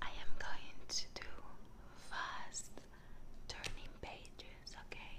I am going to do fast turning pages, okay?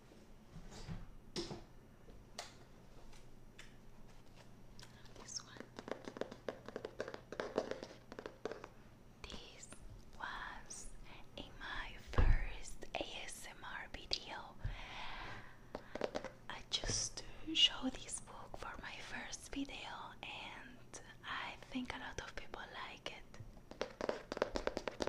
This one. This was in my first ASMR video. I just show this book for my first video and I think a lot of people like it.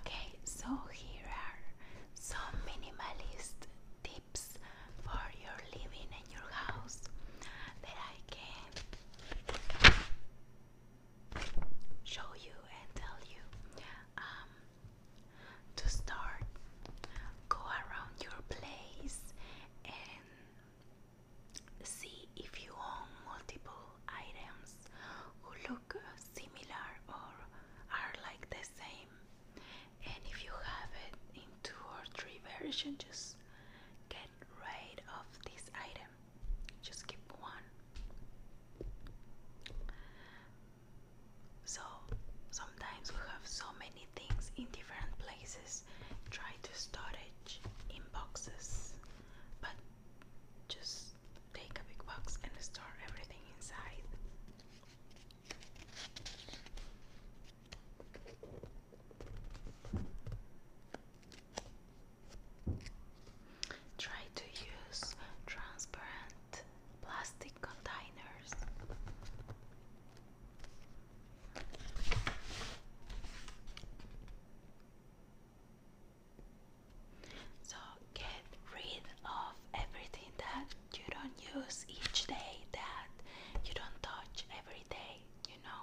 Okay, so here are some minimalist tips for your living and your house that I can show you and tell you um, to start go around your place and see if you own multiple items who look similar or are like the same and if you have it in two or three versions just get rid of this item just keep one. So sometimes we have so many things in different places. Try to storage in boxes, but just take a big box and store everything inside. Try to use transparent plastic containers. So get rid of everything that you don't use each day, that you don't touch every you know.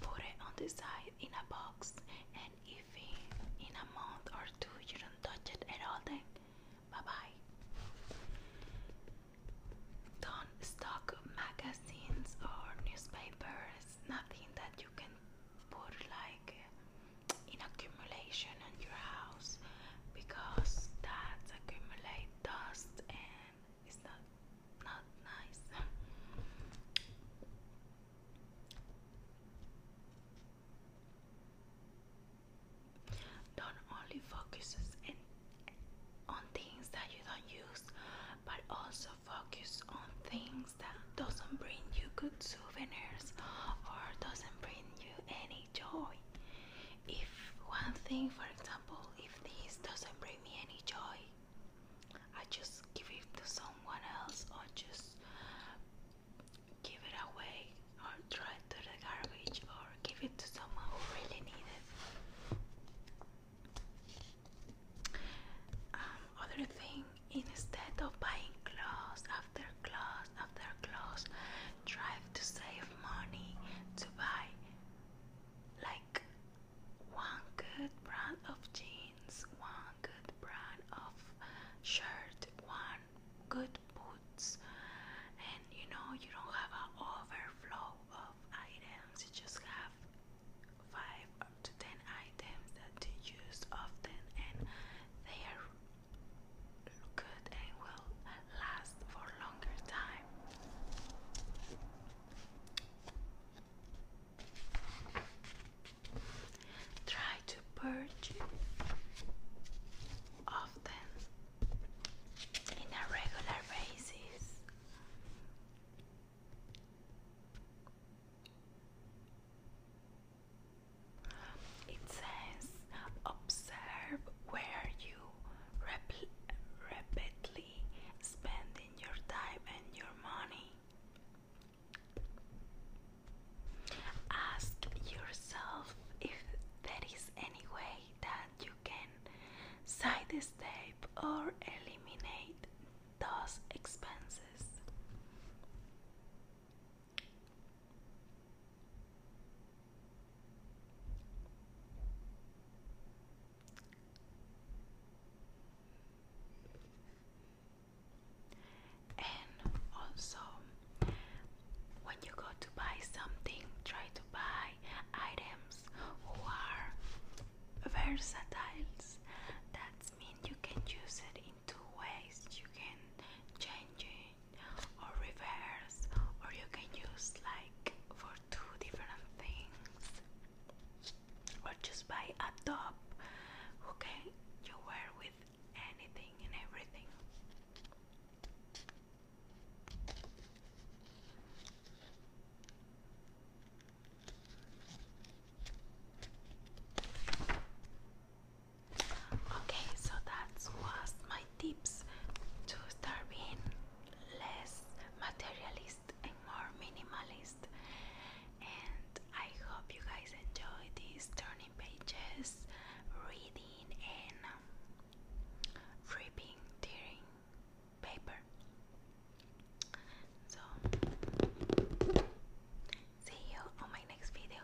Put it on the side in a box, and if in, in a month or two you don't touch it at all, then bye bye. Don't stock magazines or newspapers, nothing that you can put like in accumulation in your house because that accumulates dust and it's not not nice. don't only focus on things that you don't use, but also focus on things that doesn't bring you good souvenirs or doesn't bring you any joy. If one thing, for example, if this doesn't bring me any joy, I just give it to someone else or just give it away or throw it to the garbage or give it to someone who really needs it. Um, other thing, instead of buying clothes after clothes after clothes, try to save money to buy like one good brand of jeans, one good brand of shirt, one good boots, and you know, you don't have an overflow of items, you just have five to ten items that you use often, and they are good and will last for longer time. Try to purge of in a regular basis. It says observe where you repeatedly spend spending your time and your money. Ask yourself if there is any way that you can sidestep or eliminate those expenses. And also, when you go to buy something, try to buy items who are versatile. That means you can use it in two ways. You can change it or reverse, or you can use like for two different things or just buy a top okay you wear with anything and everything Okay, so that was my tips to start being less materialistic more minimalist. And I hope you guys enjoy these turning pages, reading, and um, ripping, tearing paper. So, see you on my next video.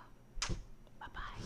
Bye bye.